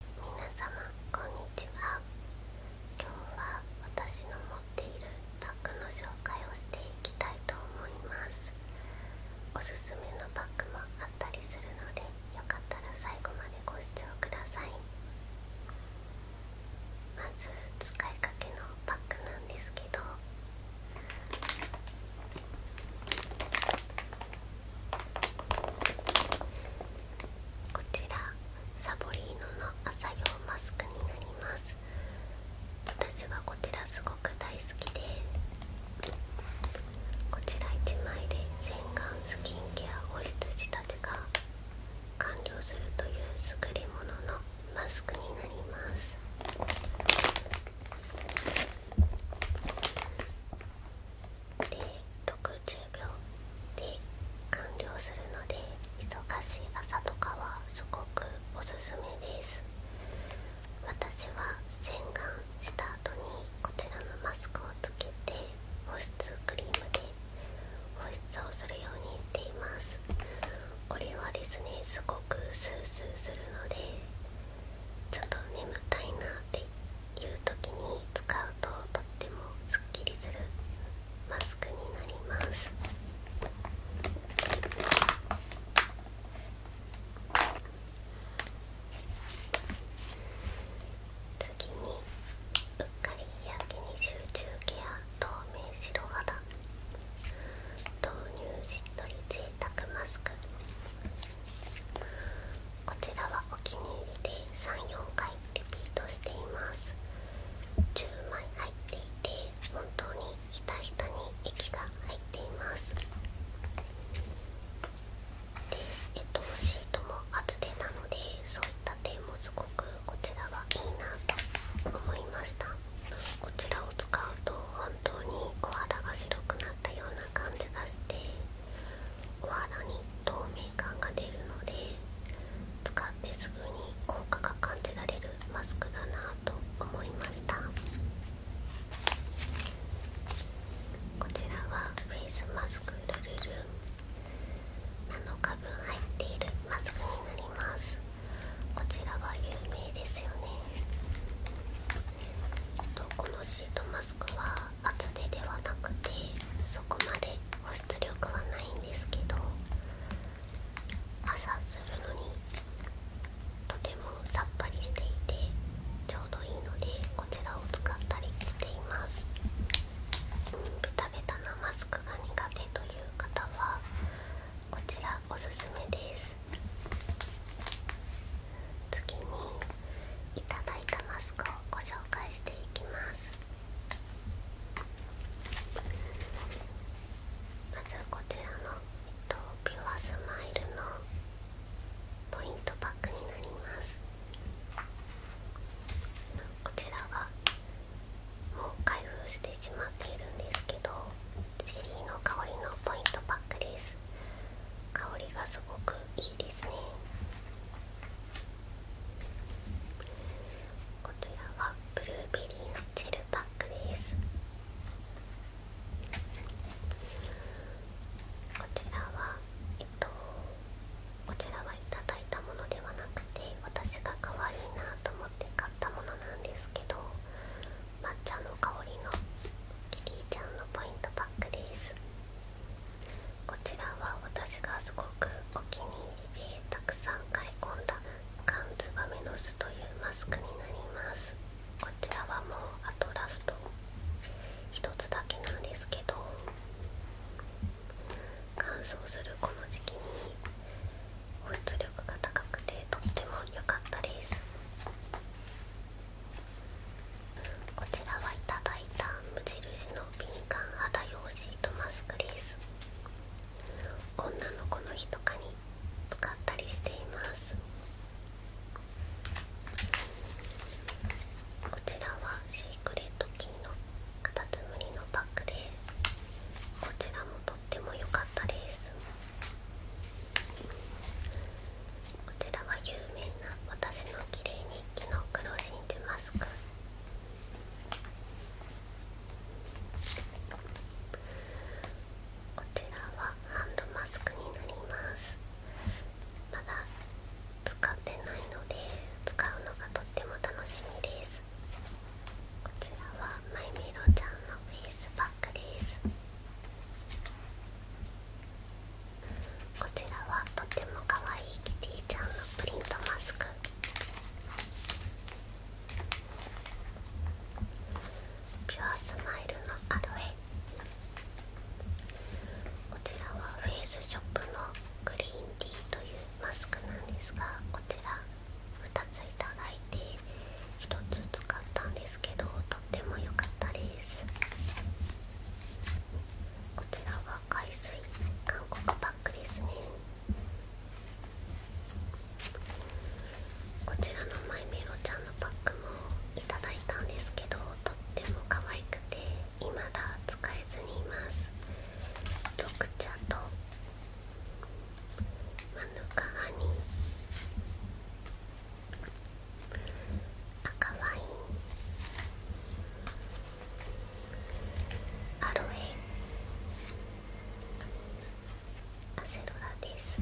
皆様こんにちは今日は私の持っているバッグの紹介をしていきたいと思いますおすすめのバッグもあったりするのでよかったら最後までご視聴くださいまず使いかけのバッグなんですけどこちらサボリーノの朝用マスクになります私はこちらすごく大好きでこちら1枚で洗顔スキンケア保湿自たちが完了するという作り物ののマスクになりますで60秒で完了するので忙しい朝とかはすごくおすすめです私は洗顔した後にこちらのマスクをつけて保湿クリームで保湿をするようにしていますこれはですねすごくスースーするのでちょっと眠たいなっていう時に使うととってもすっきりするマスクになります次にうっかり日焼けに集中ケア透明白肌豆乳しっとり贅沢マスクこちらはお気に入りで34回リピートしています10枚入っていて本当にひたひたに液が入っていますでえっとシートも厚手なのでそういった点もすこちらはいいなと思いましたこちらを使うと本当にお肌が白くなったような感じがしてお肌に透明感が出るので使ってすぐに効果が感じられるマスクだなと思いましたこちらはフェイスマスクルルル7日分入っているマスクになりますこちらは有名ですよねとこのシートマスクは厚手ではなくてそこまで保湿力はないんですけど朝するのにとてもさっぱりしていてちょうどいいのでこちらを使ったりしています、ベタベタなマスクが苦手という方はこちらおすすめです次にいただいたマスクをご紹介していきますまずこちらのピュアスマイルのポイントパックになりますこちらはもう開封してしまっているんですけどチェリーの香りのポイントパックです香りがすごくいいですねこちらはブルーベリーのジェルパックですこちらはえっとこちらはいただいたものではなくて私が可愛いなと思って買ったものなんですけど抹茶の香りのキティちゃんのポイントパックですこちらは私がすごくお気に入りでたくさん買い込んだ缶ツバメの巣というマスクになりますこちらはもうあとラスト1つだけなんですけど乾燥するこの時期に保湿力が高くてとっても良かったですこちらはいただいた無印の敏感肌用シートマスクです女の子の日とかに使ったりしていますこちらは使クレット金のカタツムリのパックでこちらもとっても良かったですこちらは有名な私の綺麗日記の黒真珠マスクこちらはハンドマスクになりますまだ使ってないので使うのがとっても楽しみですこちらはまゆみろちゃんのフェイスパックですこちらはとっても可愛いキティちゃんのプリントマスクピュアスマイルのアロエこちらはフェイスショップのグリーン D というマスクなんですがこちら2ついただいて1つ使ったんですけどとっても良かったですこちらは海水韓国パックですねこちらのマイメロちゃんのパックもいただいたんですけどとっても可愛くて未だ使いれにます緑茶とマヌカハニー赤ワインアロエアセロラです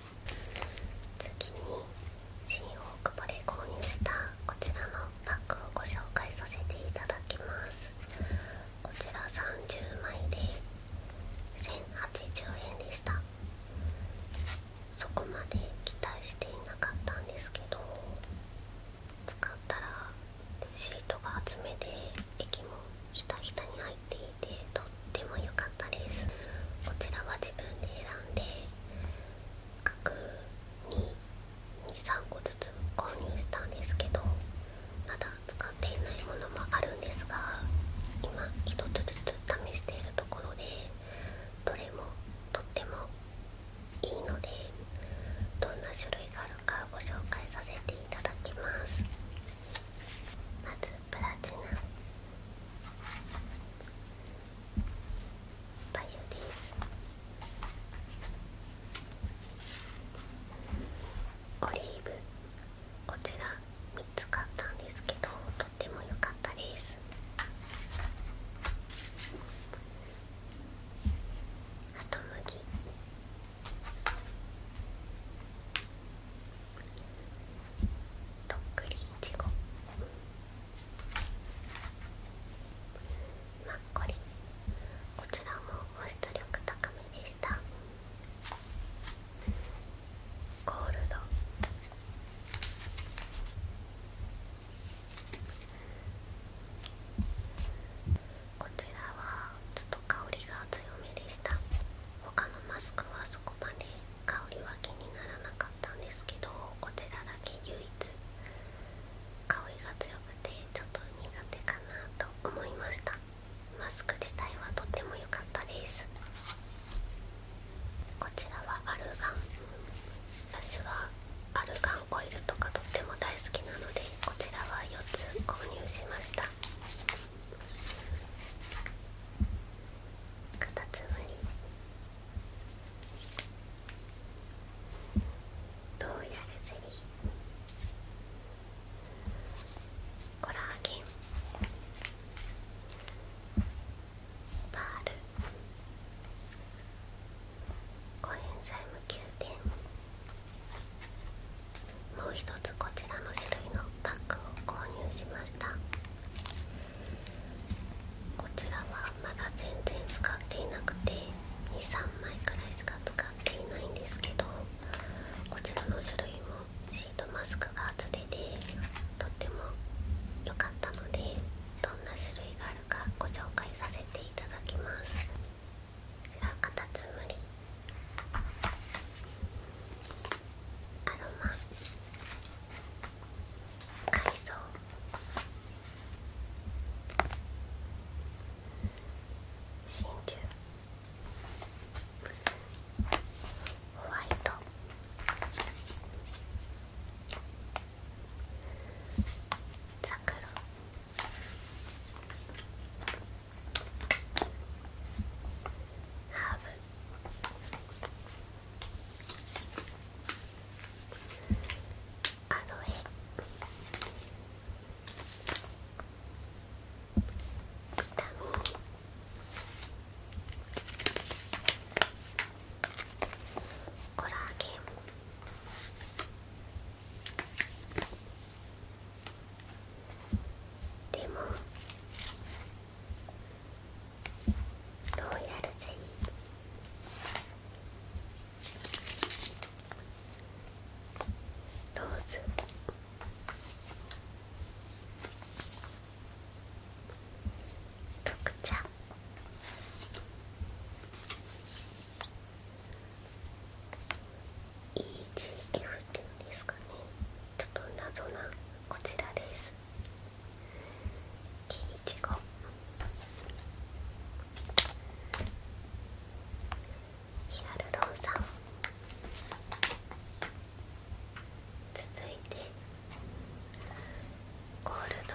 次に新大久保で購入したこちらのパックをご紹介させていただきますこちら30枚で1080円でしたそこまで期待していなかったんですけど使ったらシートが厚めで液もひたひたに入っていてとっっも良かったですこちらは自分で選んで各23個ずつ購入したんですけどまだ使っていないものもあるんですが今1つずつ試しているところでどれもとってもいいのでどんな種類があるかご紹介させていただきますプラチナですオリーブこちら3つ買ったんですけどとっても良かったですハトムギどっくりいちごマッコリこちらも保湿力高めでしたゴールドこちらはちょっと香りが強めでした他のマスクはそこまで香りは気にならなかったんですけどこちらだけ唯一香りが強くてちょっと苦手かなと思いましたマスク自体はとっても良かったですこちらはアルガン私はアルガンオイルとかとっても大好きなのでこちらは4つ購入しましたカタツムリローヤルゼリーコラーゲンパールコエンザイム9点もう一つこちらの種類のパックを購入しましたこちらはまだ全然使っていなくて23枚くらいしか使っていないんですけどこちらの種類もシートマスクが厚手でとっても良かったのでどんな種類があるかご紹介させていただきますこちらカタツムリアロマ海藻真珠ホワイト桜ハーブアロエビタミンコラーゲンでも。ンロイヤルゼリローズ緑茶いい EGF っていうんですかねちょっと謎なこちらですキイチゴヒアルロン酸続いてゴールド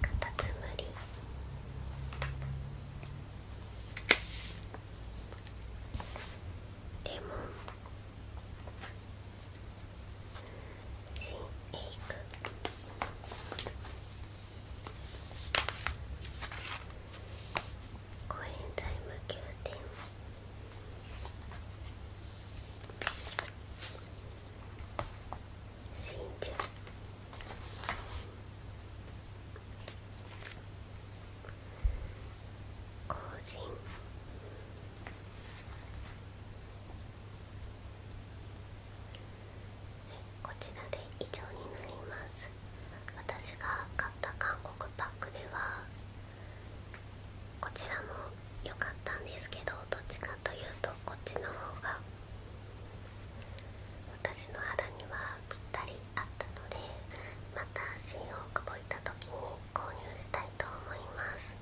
カタツムリレモンジンエイクコエンザイム9点死ん後人こちらで以上になります私が買った韓国パックではこちらも良かったんですけどどっちかというとこっちの方が私の肌にはぴったりあったのでまた新大久保行った時に購入したいと思います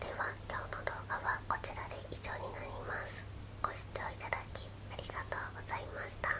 では今日の動画はこちらで以上になりますご視聴いただきありがとうございました